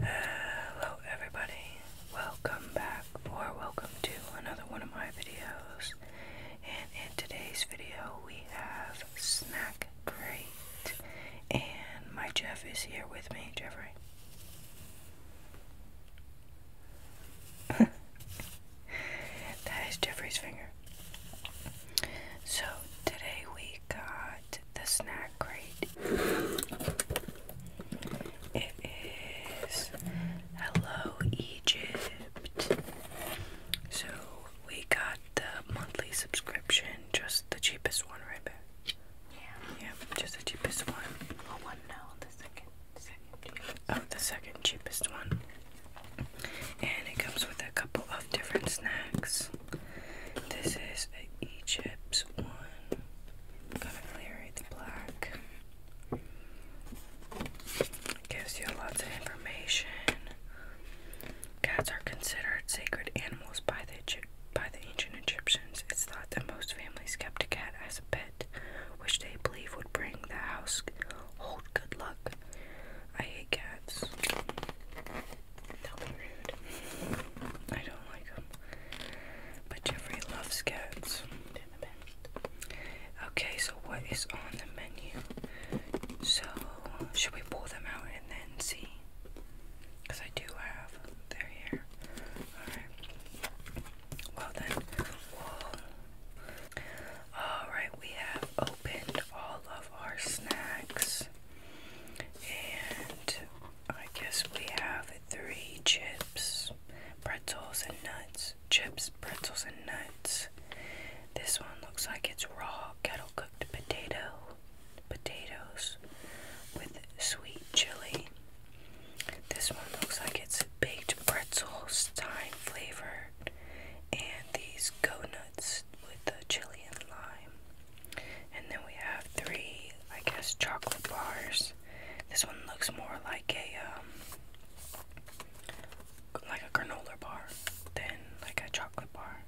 Hello everybody, welcome back or welcome to another one of my videos and in today's video we have Snack Crate and my Jeff is here with me, Jeffrey. that is Jeffrey's finger. So today we got the snack crate. It is Hello Egypt. So we got the monthly subscription, just the cheapest one right there. Yeah. Yeah, just the cheapest one. Oh, one no, the second, second Oh, the second cheapest one. And it comes with a couple of different snacks. This is Egypt's one. i to clear the black. gives you lots of information. Cats are considered sacred animals by the by the ancient Egyptians. It's thought that most families kept a cat as a pet, which they believe would bring the house hold good luck. I hate cats. Don't be rude. I don't like them. But Jeffrey loves cats. Okay, so what is on the menu? So, should we pull them out and then see? Because I do have. They're here. Alright. Well, then. We'll... Alright, we have opened all of our snacks. And I guess we have three chips, pretzels, and nuts. Chips, pretzels, and nuts. This one looks like it's raw kettle cooked potato, potatoes with sweet chili. This one looks like it's baked pretzels, thyme flavored, and these go nuts with the chili and lime. And then we have three, I guess, chocolate bars. This one looks more like a um, like a granola bar than like a chocolate bar.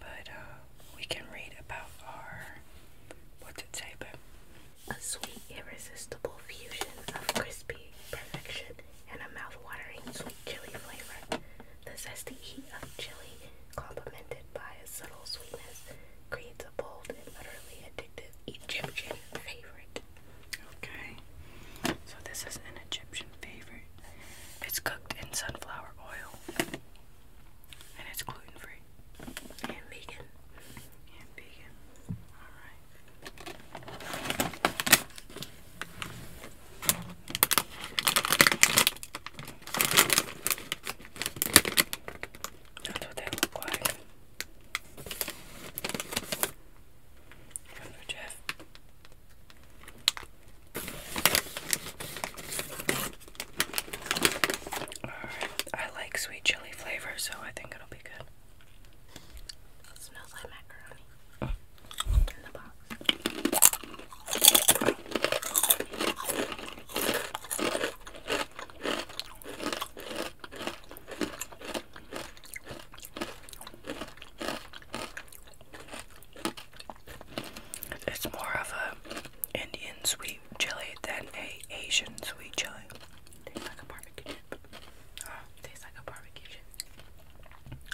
But uh, we can read about our what's it say, but a sweet, irresistible fusion of crispy perfection and a mouthwatering sweet chili flavor. The zesty heat of chili, complemented by a subtle sweetness, creates a bold and utterly addictive Egyptian favorite. Okay, so this is an Egyptian favorite. It's cooked in sunflower oil, and it's gluten free and vegan. And vegan. All right. That's what they look like. I like sweet chili flavor, so I think it'll be good. smells like macaroni mm. in the box. It's more of a Indian sweet chili than a Asian sweet chili. Tastes like a barbecue chip. Ah, tastes like a barbecue chip.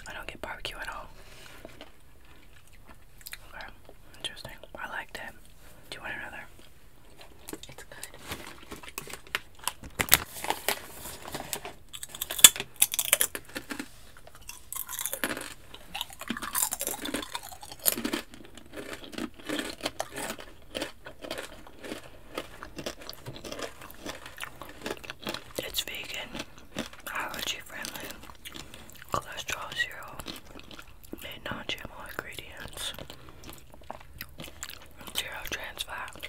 I don't get barbecue at all interesting. I like that. Do you want another? It's good. It's vegan, allergy friendly, cholesterol zero, no non-GMO ingredients, zero trans fat.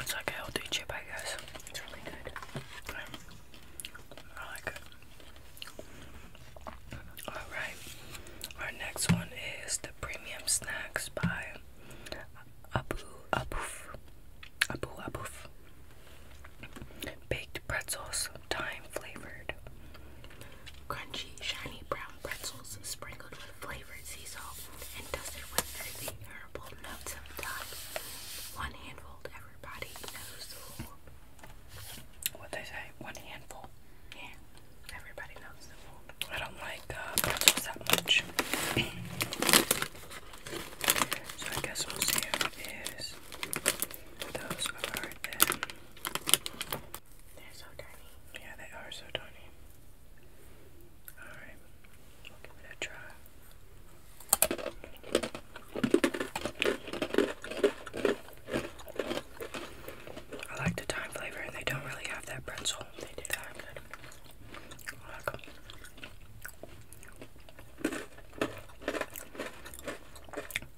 It's like a healthy chip, I guess. It's really good. I like it. Alright, our next one is the Premium Snacks by Abu Abuf. Abu Abuf. Baked pretzels, thyme flavored. Crunchy, shiny brown pretzels sprinkled with flavored sea salt and dusted with earthy herbal notes of One handful, everybody knows the rule. What they say? One handful. Yeah, everybody knows the rule. I don't like uh, pretzels that much. so I guess we'll see how it is. Those are them. They're so tiny. Yeah, they are so tiny. Alright, give it a try. I like the thyme flavor, and they don't really have that pretzel. They do that good. I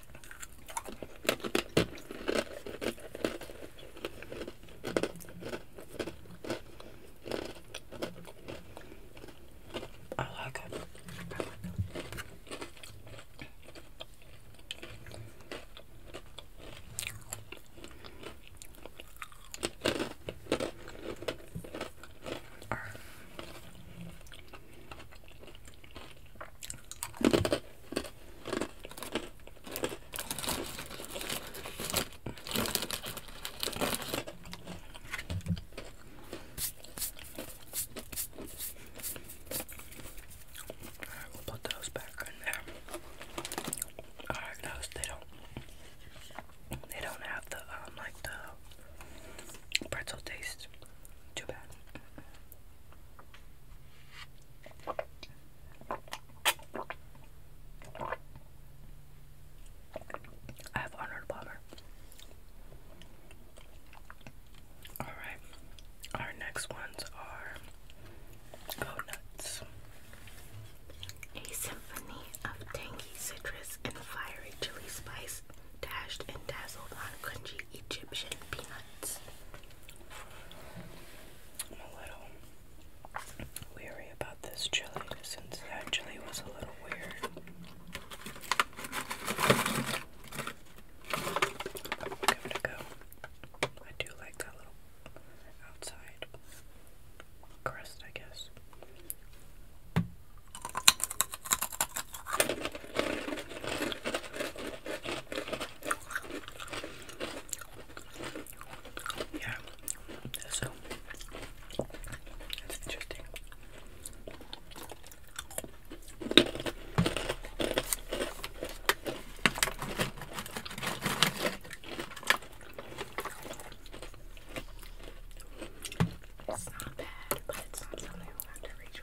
I like it. I like it. Alright, we'll put those back in there. Alright, those they don't they don't have the um like the pretzel taste. Too bad. I have Arnold Palmer. All right, our next ones are Go A symphony of tangy citrus and fiery chili spice dashed and dazzled on crunchy Egyptian peanuts. I'm a little weary about this chili since that chili was a little weird. give it a go. I do like that little outside crust, I guess. Yeah, so that's interesting. It's not bad, but it's something I'll have to reach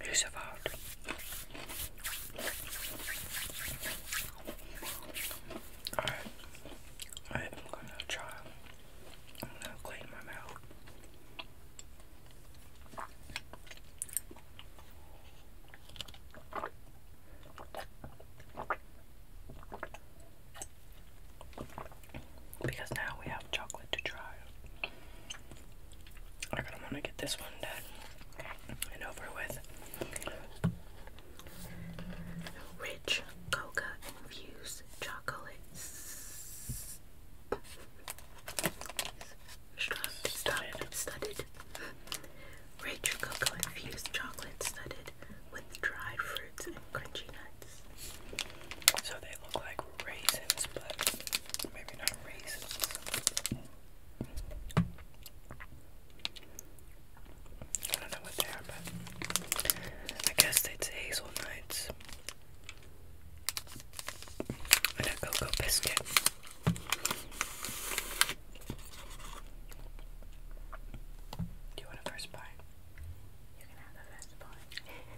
Who survived? Alright, right, I'm gonna try. I'm gonna clean my mouth. Because now we have chocolate to try. I kind of want to get this one done and over with. Rich coca infused chocolate. studded. Rich cocoa infused chocolate studded with dried fruits and crunchy nuts. So they look like raisins, but maybe not raisins. I don't know what they are, but I guess it's hazelnuts and a cocoa biscuit. Do you want a first bite? You can have the first bite.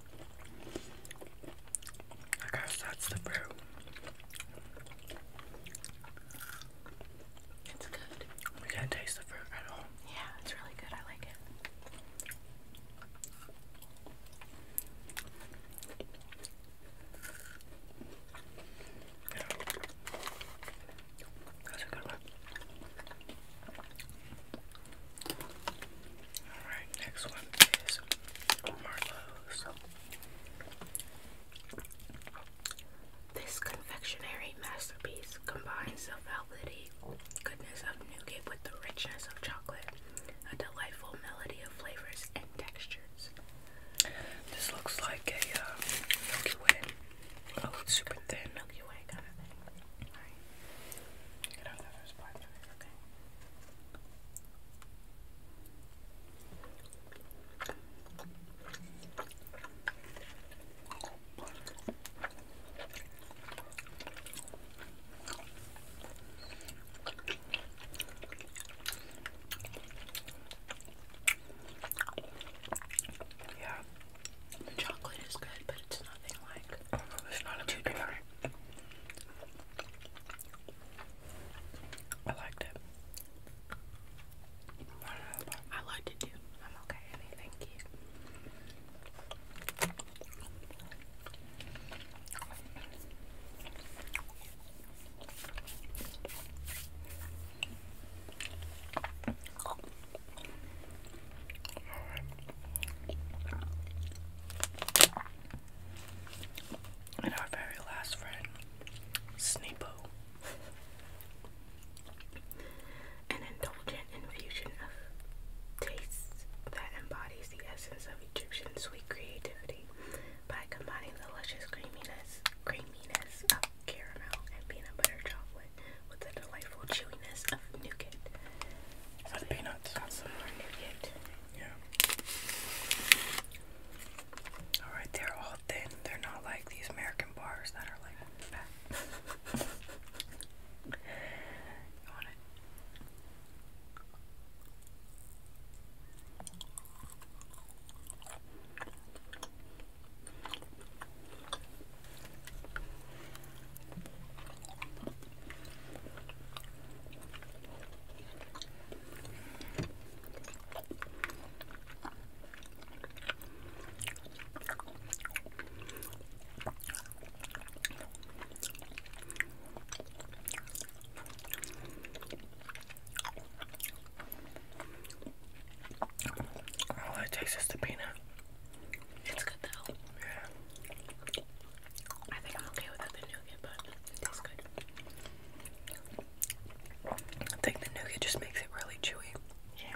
I guess that's the brew. It's good. We can taste the fruit at all. Yeah, it's really good. I like it. That's a good one. Alright, next one is Marlowe's. This confectionery masterpiece combines the velvety goodness of nougat with the richness of chocolate, a delightful melody of flavors and textures. This looks like a uh, Milky Way. Oh, super thin. Milky Way kind of thing. Get out the first part. Okay. Yeah, the chocolate is good, but it's nothing like not a too different. I liked it. I liked it too. I'm okay, honey. And our very last friend, Sneepo. An indulgent infusion of tastes that embodies the essence of Egyptian sweet creativity by combining the luscious creaminess, creaminess of caramel and peanut butter chocolate with the delightful chewiness of nougat. So peanuts. Got some more nougat. Yeah. All right, they're all thin. They're not like these American bars that are like fat. you want all it takes is the peanut. It's good though. Yeah. I think I'm okay without the nougat, but it tastes good. I think the nougat just makes it really chewy. Yeah.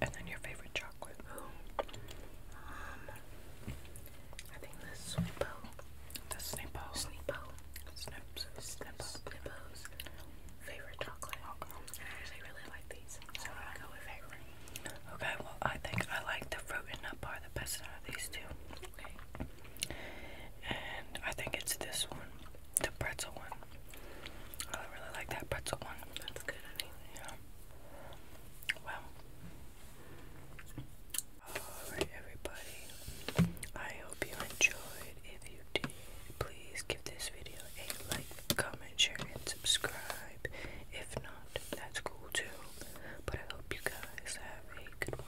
and then your favorite chocolate. Oh, Um, I think this Snippo. The Snippo. Snippo. Snips. Snippos. Favorite chocolate. Okay. I actually really like these, so I'm gonna go with favorite. Okay, well I think I like the fruit and nut bar the best out of these two. Okay. And I think it's this one, the pretzel one. I really like that pretzel one. That's good, yeah. Well, alright, everybody. I hope you enjoyed. If you did, please give this video a like, comment, share, and subscribe. If not, that's cool too. But I hope you guys have a good one.